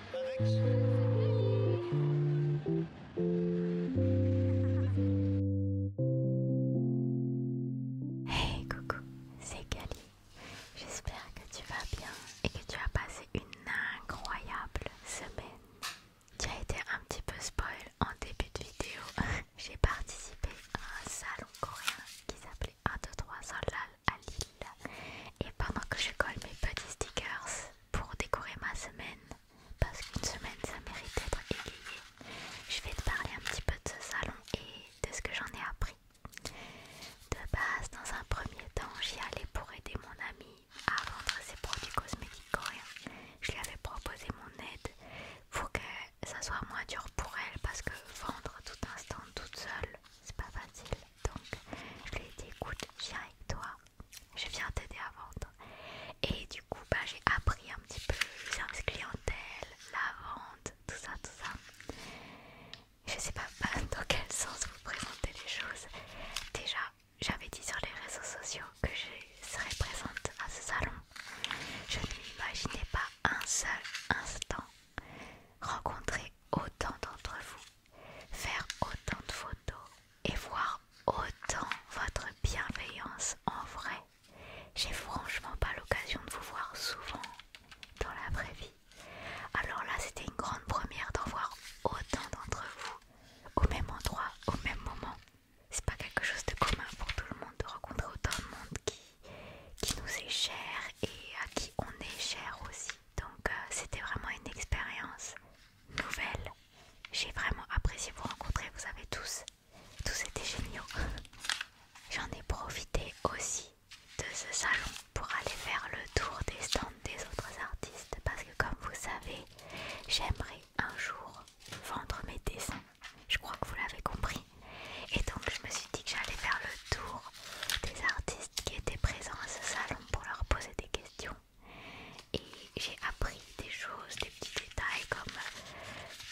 Hey coucou, c'est Gali. J'espère que tu vas bien et que tu as passé une incroyable semaine. Tu as été un petit peu spoil en début de vidéo. J'ai participé à un salon coréen qui s'appelait 1, 2, 3, Solal à Lille. Et pendant que je colle mes petits stickers pour décorer ma semaine, parce qu'une semaine ça mérite d'être égayée, je vais te parler un petit peu de ce salon et de ce que j'en ai appris. De base, dans un premier temps, j'y allais pour aider mon amie à vendre ses produits cosmétiques coréens. Je lui avais proposé mon aide pour que ça soit moins dur pour elle parce que vendre tout instant, toute seule, c'est pas facile. Donc je lui ai dit écoute, viens avec toi, je viens t'aider à vendre. Et du coup, bah, j'ai appris un petit peu sur les clientèle, la vente, tout ça, tout ça. Je sais pas dans quel sens vous présentez les choses. Déjà, j'avais dit sur les réseaux sociaux que je serais présente à ce salon. Je n'imaginais pas un seul instant rencontrer autant d'entre vous, faire autant de photos et voir autant votre bienveillance en vrai. J'ai franchement pas l'occasion de vous voir souvent dans la vraie vie. Alors là, c'était une grande première d'en voir autant d'entre vous au même endroit, au même moment. C'est pas quelque chose de commun pour tout le monde de rencontrer autant de monde qui qui nous est cher et à qui on est cher aussi. Donc euh, c'était vraiment une expérience nouvelle. J'ai vraiment apprécié vous rencontrer, vous avez tous, tous été géniaux. J'en ai profité aussi de ce salon pour aller faire le tour des stands des autres artistes parce que comme vous savez, j'aimerais un jour vendre mes dessins je crois que vous l'avez compris. Et donc je me suis dit que j'allais faire le tour des artistes qui étaient présents à ce salon pour leur poser des questions. Et j'ai appris des choses, des petits détails comme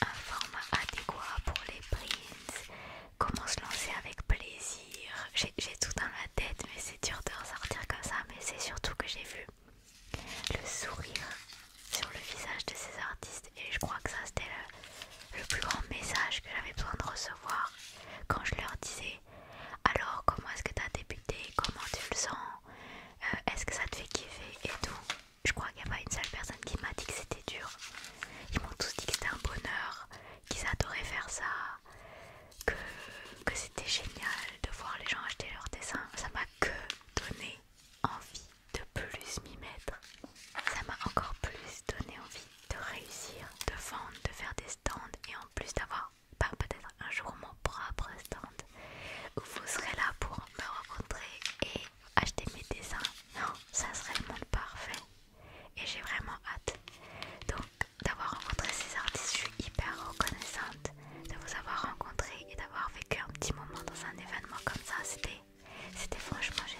un format adéquat pour les prints, comment se lancer avec plaisir. J'ai tout dans la tête mais c'est dur de ressortir comme ça, mais c'est surtout que j'ai vu le sourire sur le visage de ces artistes et je crois que ça c'était le, plus grand message que j'avais besoin de recevoir quand je leur disais alors comment est-ce que tu as débuté, comment tu le sens, euh, est-ce que ça te fait kiffer et tout. Je crois qu'il n'y a pas une seule personne qui m'a dit que c'était dur. Ils m'ont tous dit que c'était un bonheur, qu'ils adoraient faire ça, que, que c'était génial de voir les gens acheter leurs dessins. Ça m'a que donné envie de plus m'y mettre. Ça m'a encore plus donné envie de réussir, de vendre, de faire des stands et en plus d'avoir peut-être un jour mon propre stand où vous serez là pour me rencontrer et acheter mes dessins. Non, ça serait le monde parfait et j'ai vraiment hâte. Donc d'avoir rencontré ces artistes, je suis hyper reconnaissante de vous avoir rencontré et d'avoir vécu un petit moment dans un événement comme ça. C'était c'était franchement génial.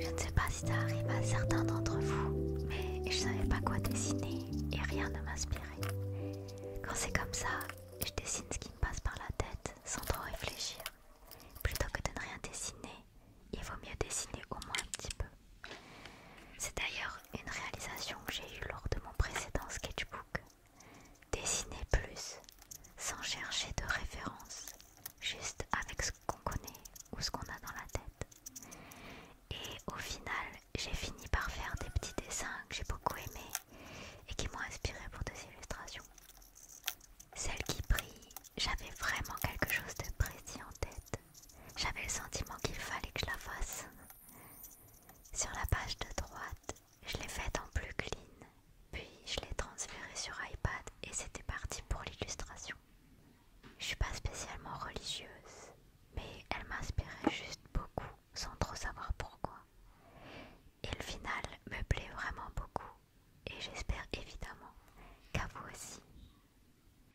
Je ne sais pas si ça arrive à certains d'entre vous, mais je ne savais pas quoi dessiner et rien ne m'inspirait. Quand c'est comme ça, je dessine ce qui me passe par la tête sans trop réfléchir, plutôt que de ne rien dessiner il vaut mieux dessiner au moins un petit peu. C'est d'ailleurs une réalisation que j'ai eue lors de mon précédent sketchbook. Dessiner plus, sans chercher de référence, juste avec ce qu'on connaît ou ce qu'on a dans la tête. Et au final, j'ai fini par faire des petits dessins que j'ai beaucoup aimés et qui m'ont inspiré pour des illustrations. Celle qui brille, j'avais vraiment quelque chose de précis en tête j'avais le sentiment qu'il fallait que je la fasse. Sur la page de droite, je l'ai faite en plus clean, puis je l'ai transférée sur iPad et c'était parti pour l'illustration. Je suis pas spécialement religieuse, mais elle m'inspirait juste beaucoup sans trop savoir pourquoi. Et le final me plaît vraiment beaucoup et j'espère évidemment qu'à vous aussi.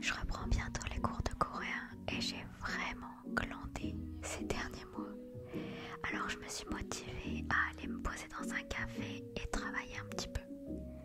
Je reprends bientôt les cours de coréen et j'ai vraiment glandé ces derniers mois. Alors je me suis motivée à aller me poser dans un café et travailler un petit peu.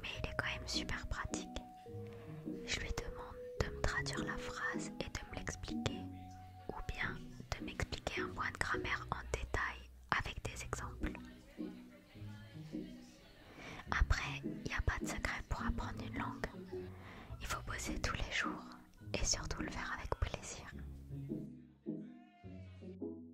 mais il est quand même super pratique. Je lui demande de me traduire la phrase et de me l'expliquer, ou bien de m'expliquer un point de grammaire en détail avec des exemples. Après, il n'y a pas de secret pour apprendre une langue. Il faut bosser tous les jours et surtout le faire avec plaisir.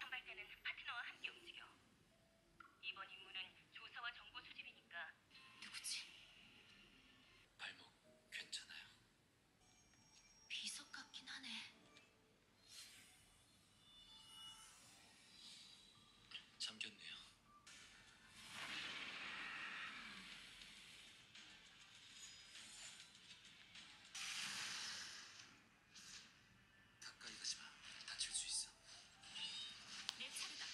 도발대는 파트너와 함께 움직여. 이번 임무는 조사와 정보 수집이니까 누구지? 발목 괜찮아요. 비석 같긴 하네. 잠겼네요. 가까이 가지 마. 다칠 수 있어. 내 차례다.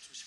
조심.